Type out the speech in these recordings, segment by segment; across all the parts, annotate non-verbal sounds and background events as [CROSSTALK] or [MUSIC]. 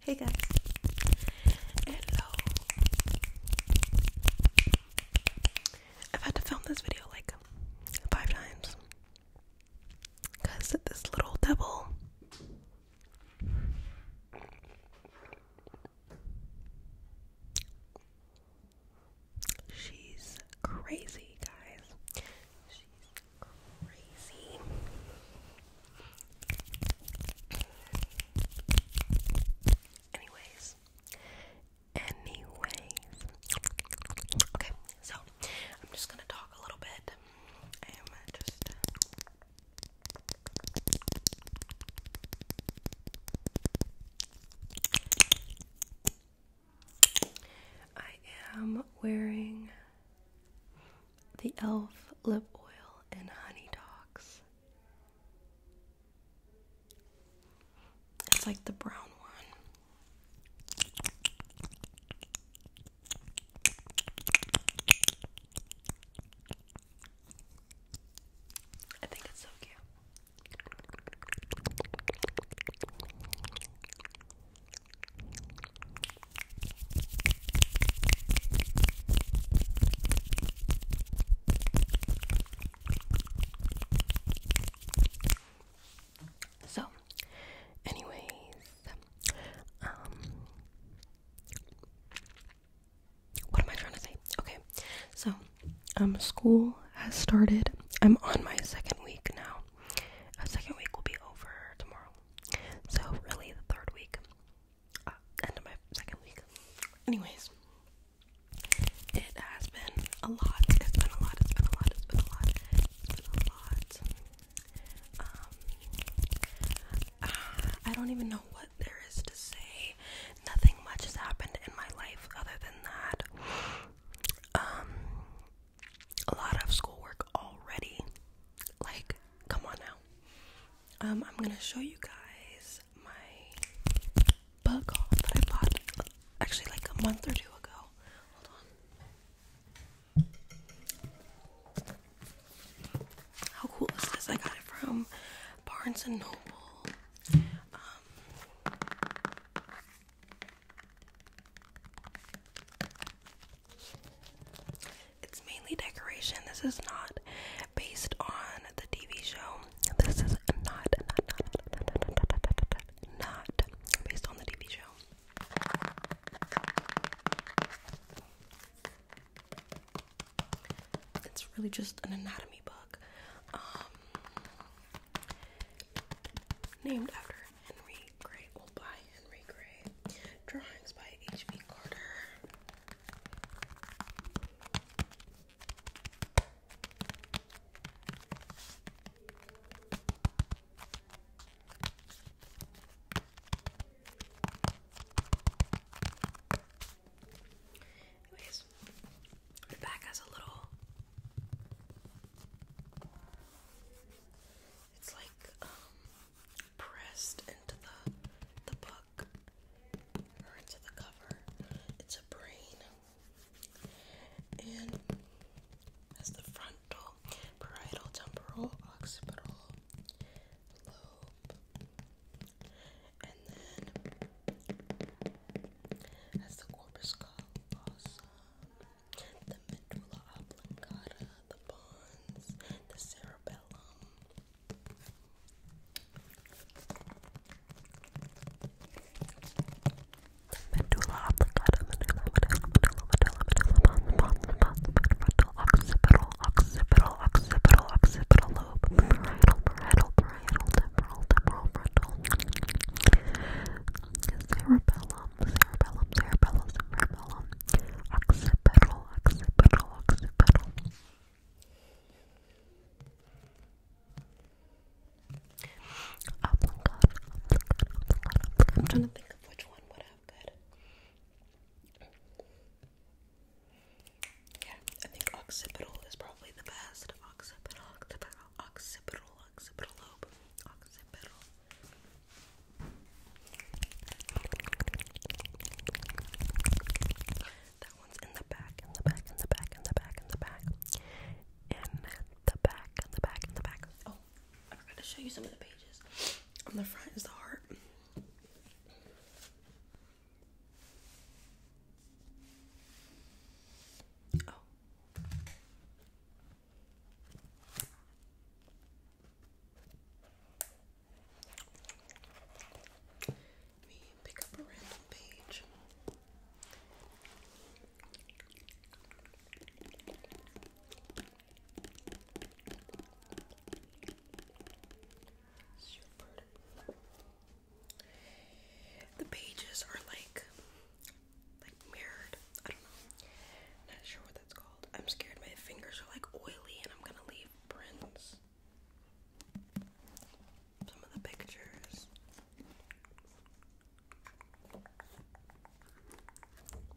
Hey guys. Hello. I've had to film this video like five times. Because this little devil She's crazy, guys. She's crazy. Anyways, anyways, okay, so I'm just gonna talk a little bit. I am just. I am wearing the e.l.f. lip oil in Honey Dogs. It's like the brown one. I think it's so cute. So, anyways, um, what am I trying to say? Okay, so, um, school has started. I'm on my second week now. Our second week will be over tomorrow. So, really, the third week. Uh, end of my second week. Anyways, it has been a lot. It's been a lot. It's been a lot. It's been a lot. It's been a lot. Um, uh, I don't even know what there is to say. Nothing much has happened in my life other than that. Um, a lot of schoolwork already. Like, come on now. Um, I'm gonna show you guys my book that I bought actually like a month or two ago. Hold on. How cool is this? I got it from Barnes and Noble. Um, it's mainly decoration. This is not based on the TV show. This is not not based on the TV show. It's really just an anatomy book. Um, Named after Henry Gray, well, by Henry Gray. Drawings by H.B. Carter. Anyways, back has a little it's like um, pressed into the the book or into the cover. It's a brain and has the frontal, parietal, temporal, occipital lobe. And then that's the corpus callosum, The medulla oblongata, the pons, the cerebellum. Medulla oblongata, medulla, medulla, medulla, medulla, medulla, pons, pons, pons, occipital, occipital, occipital, occipital lobe, parietal, parietal, temporal, temporal, frontal, cerebellum, cerebellum, cerebellum, cerebellum, occipital, occipital, occipital. Oh my god, I'm trying to think of which one would have good. Yeah, I think occipital is probably the best. Occipital, occipital, occipital, occipital lobe, occipital. That one's in the back, in the back, in the back, in the back, in the back, in the back, in the back, in the back. Oh, I forgot to show you some of the pages. On the front is the heart. Oh. Let me pick up a random page. Super. The pages are like like mirrored. I don't know. Not sure what that's called. I'm scared my fingers are like oily and I'm gonna leave prints. Some of the pictures.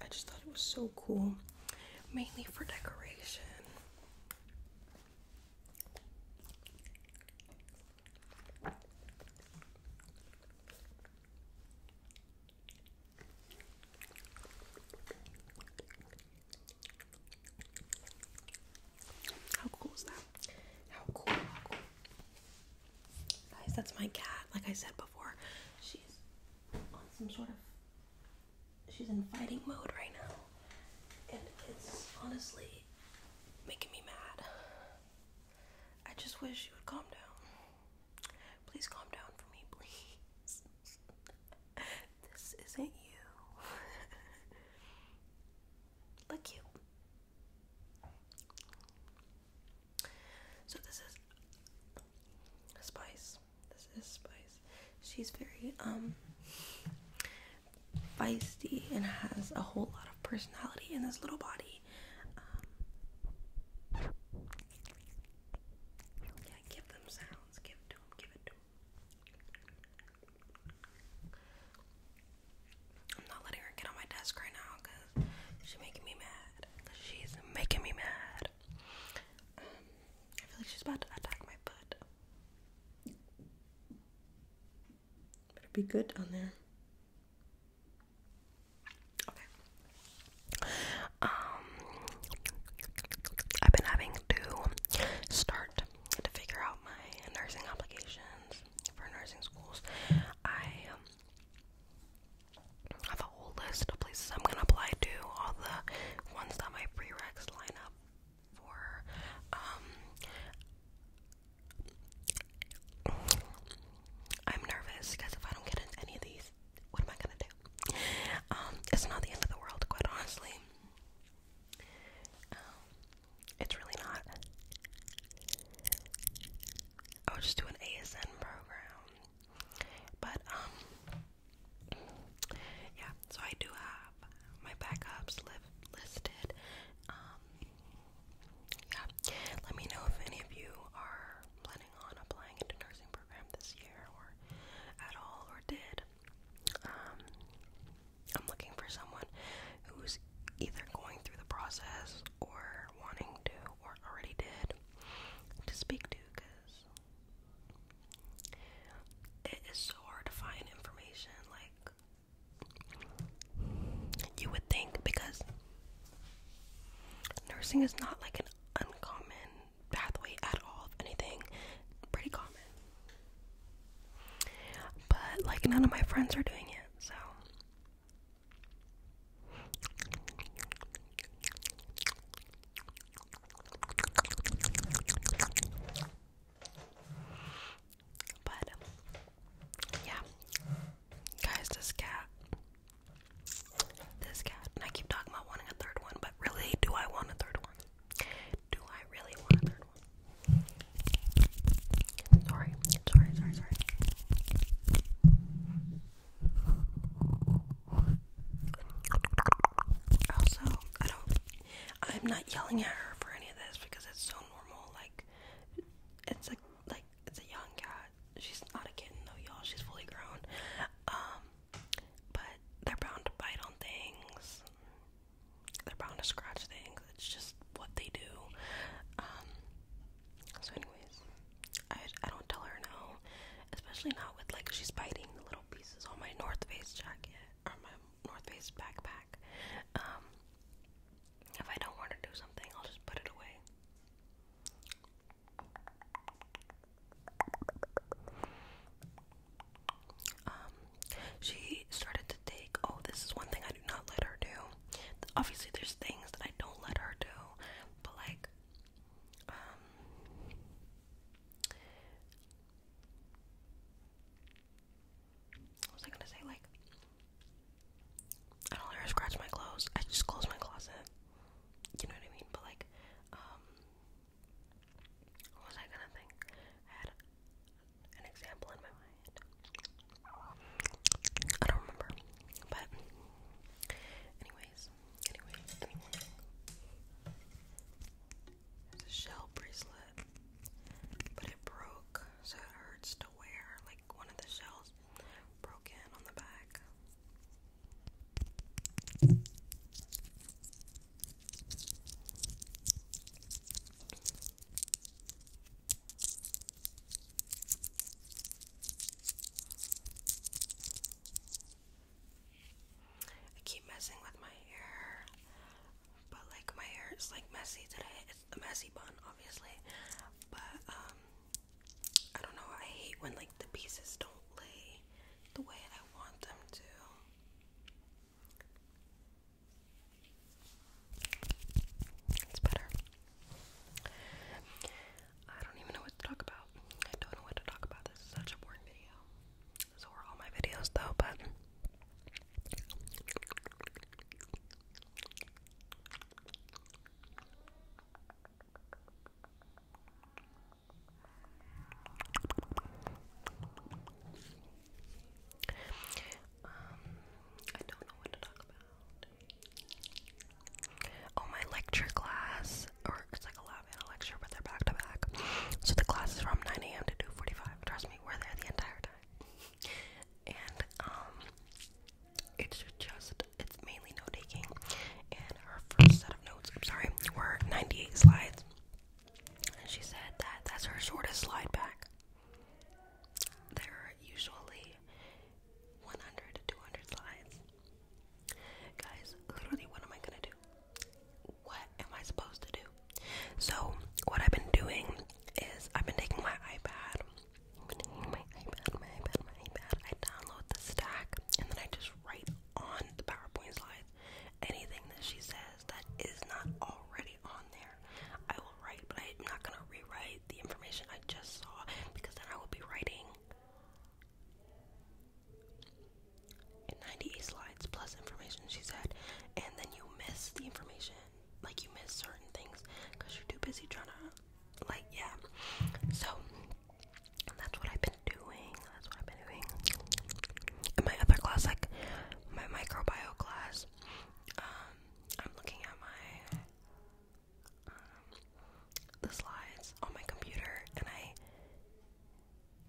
I just thought it was so cool, mainly for decoration. How cool is that? How cool, Guys, that's my cat. Like I said before, she's on some sort of she's in fighting mode right now and it's honestly making me mad. I just wish you would calm down. Please calm down for me, please. [LAUGHS] this isn't you. Look [LAUGHS] you. So this is Spice. This is Spice. She's very um feisty and has a whole lot of personality in this little body. Um, yeah, give them sounds. Give it to them. Give it to them. I'm not letting her get on my desk right now because she's making me mad. She's making me mad. Um, I feel like she's about to attack my butt it Better be good on there. Okay. Um, I've been having to start to figure out my nursing applications for nursing schools. I um, have a whole list of places I'm gonna apply to, all the ones that my prereqs line up for um I'm nervous because if I don't get into any of these, what am I gonna do? Um, it's not the end of the world, quite honestly. Um, it's really not. I would just do an ASN program. But um yeah, so I do have my backups live listed. Um, yeah, let me know if any of you are planning on applying into nursing program this year or at all or did. Um, I'm looking for someone who's either going through the process or wanting to or already did to speak to because it is so hard to find information like you would think because nursing is not like an uncommon pathway at all, if anything, pretty common. But like none of my friends are doing it, so but um, yeah, guys, this cat, this cat, I keep talking about wanting a third one, but really, do I want a third one? Do I really want a third one? Sorry, sorry, sorry, sorry. Also, I don't I'm not yelling at her for any of this because it's so normal. Like, it's like like it's a young cat. She's not a kitten though, y'all. She's fully grown. Um, but they're bound to bite on things. They're bound to scratch things. It's just what they do. Um, so anyways, I I don't tell her no, especially not with like she's biting the little pieces on my North Face jacket or my North Face backpack. Um, if I don't want to do something, I'll just put it away. Um, she started to take. Oh, this is one thing I do not let her do. Obviously, there's things that I don't let her do, but like, um, what was I gonna say? Like, I don't ever scratch my clothes. I just close my closet. You know what I mean? But like, um, what was I gonna think? had an example in my mind. I don't remember. But, anyways, anyways. It's a shell bracelet, but it broke, so it hurts to wear. Like one of the shells broke in on the back. I keep messing with my hair, but like my hair is like messy today. It's a messy bun, obviously, but um, I don't know. I hate when like the pieces don't lay the way I want them to. It's better. I don't even know what to talk about. I don't know what to talk about. This is such a boring video. So are all my videos though, but I don't know what to talk about. Oh, my lecture class, or it's like a 45 and a lecture, but they're back to back. So the class is from 9 a.m. to 2:45. Trust me, we're there the entire time. And um, it's just it's mainly note taking. And our first set of notes, I'm sorry, were 98 slides. And she said that that's her shortest slide back. There are usually 100 to 200 slides. Guys, literally, what am I gonna do? what am I supposed to do? So, what I've been doing is I've been taking my iPad, my iPad, my iPad, my iPad. I download the stack and then I just write on the PowerPoint slides anything that she says that is not already on there. I will write, but I'm not gonna rewrite the information I just saw because then I will be writing in 98 slides plus information, she said, and then you miss the information. Like, you miss certain things because you're too busy trying to, like, yeah. So, that's what I've been doing. That's what I've been doing. In my other class, like, my microbiology class, um, I'm looking at my. Um, the slides on my computer and I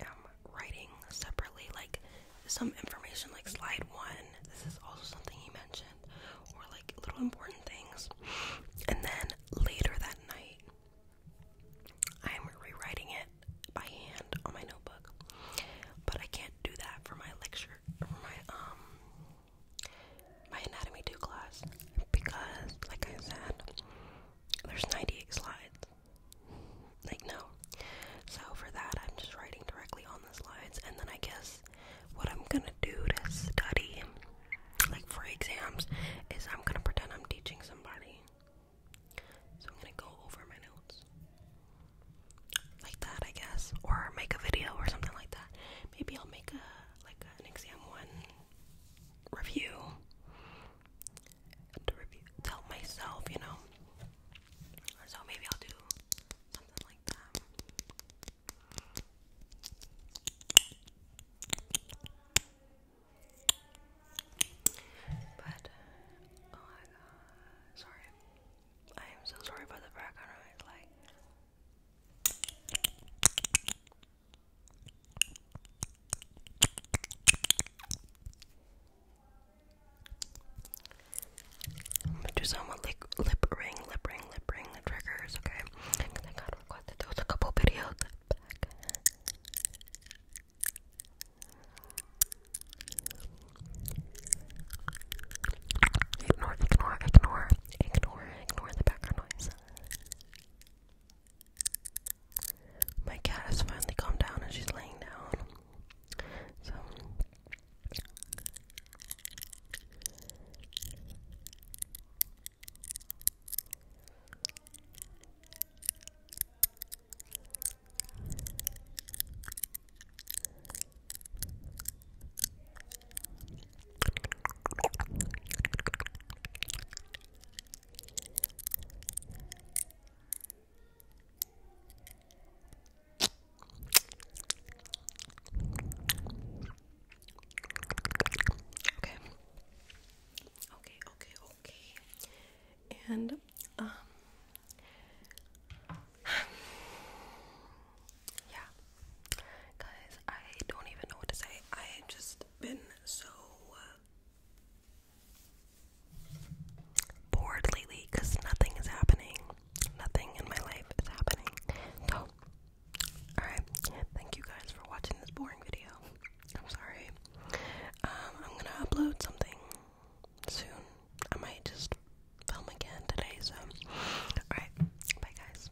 I'm um, writing separately, like some information, like slide one. This is also something he mentioned, or like little important things. And then later that night, I'm rewriting it by hand on my notebook, but I can't do that for my lecture, for my um, my anatomy two class because, like I said, there's 98 slides. Like, no. So, for that, I'm just writing directly on the slides, and then I guess what I'm gonna do to study, like for exams, is I'm gonna pretend I'm teaching somebody. So, I'm gonna go over my notes. Like that, I guess. Or make a video or something like that. Maybe I'll make a, like, an exam one review to review, myself, you know. So maybe I'll do something like that. But oh my god, sorry. I am so sorry about the background noise. Like, I'm gonna do some with like lip ring, lip ring, lip ring the triggers, okay? Because I got requested those a couple videos back. Ignore, ignore, ignore, ignore, ignore the background noise. My cat has finally calmed down and she's laying down. So Okay. Okay, okay, okay. And um [SIGHS] Yeah. Guys, I don't even know what to say. I just been so uh, bored lately because nothing is happening. Nothing in my life is happening. So, alright. Thank you guys for watching this boring video. I'm sorry. Um, I'm gonna upload something soon. I might just film again today, so. Alright. Bye, guys.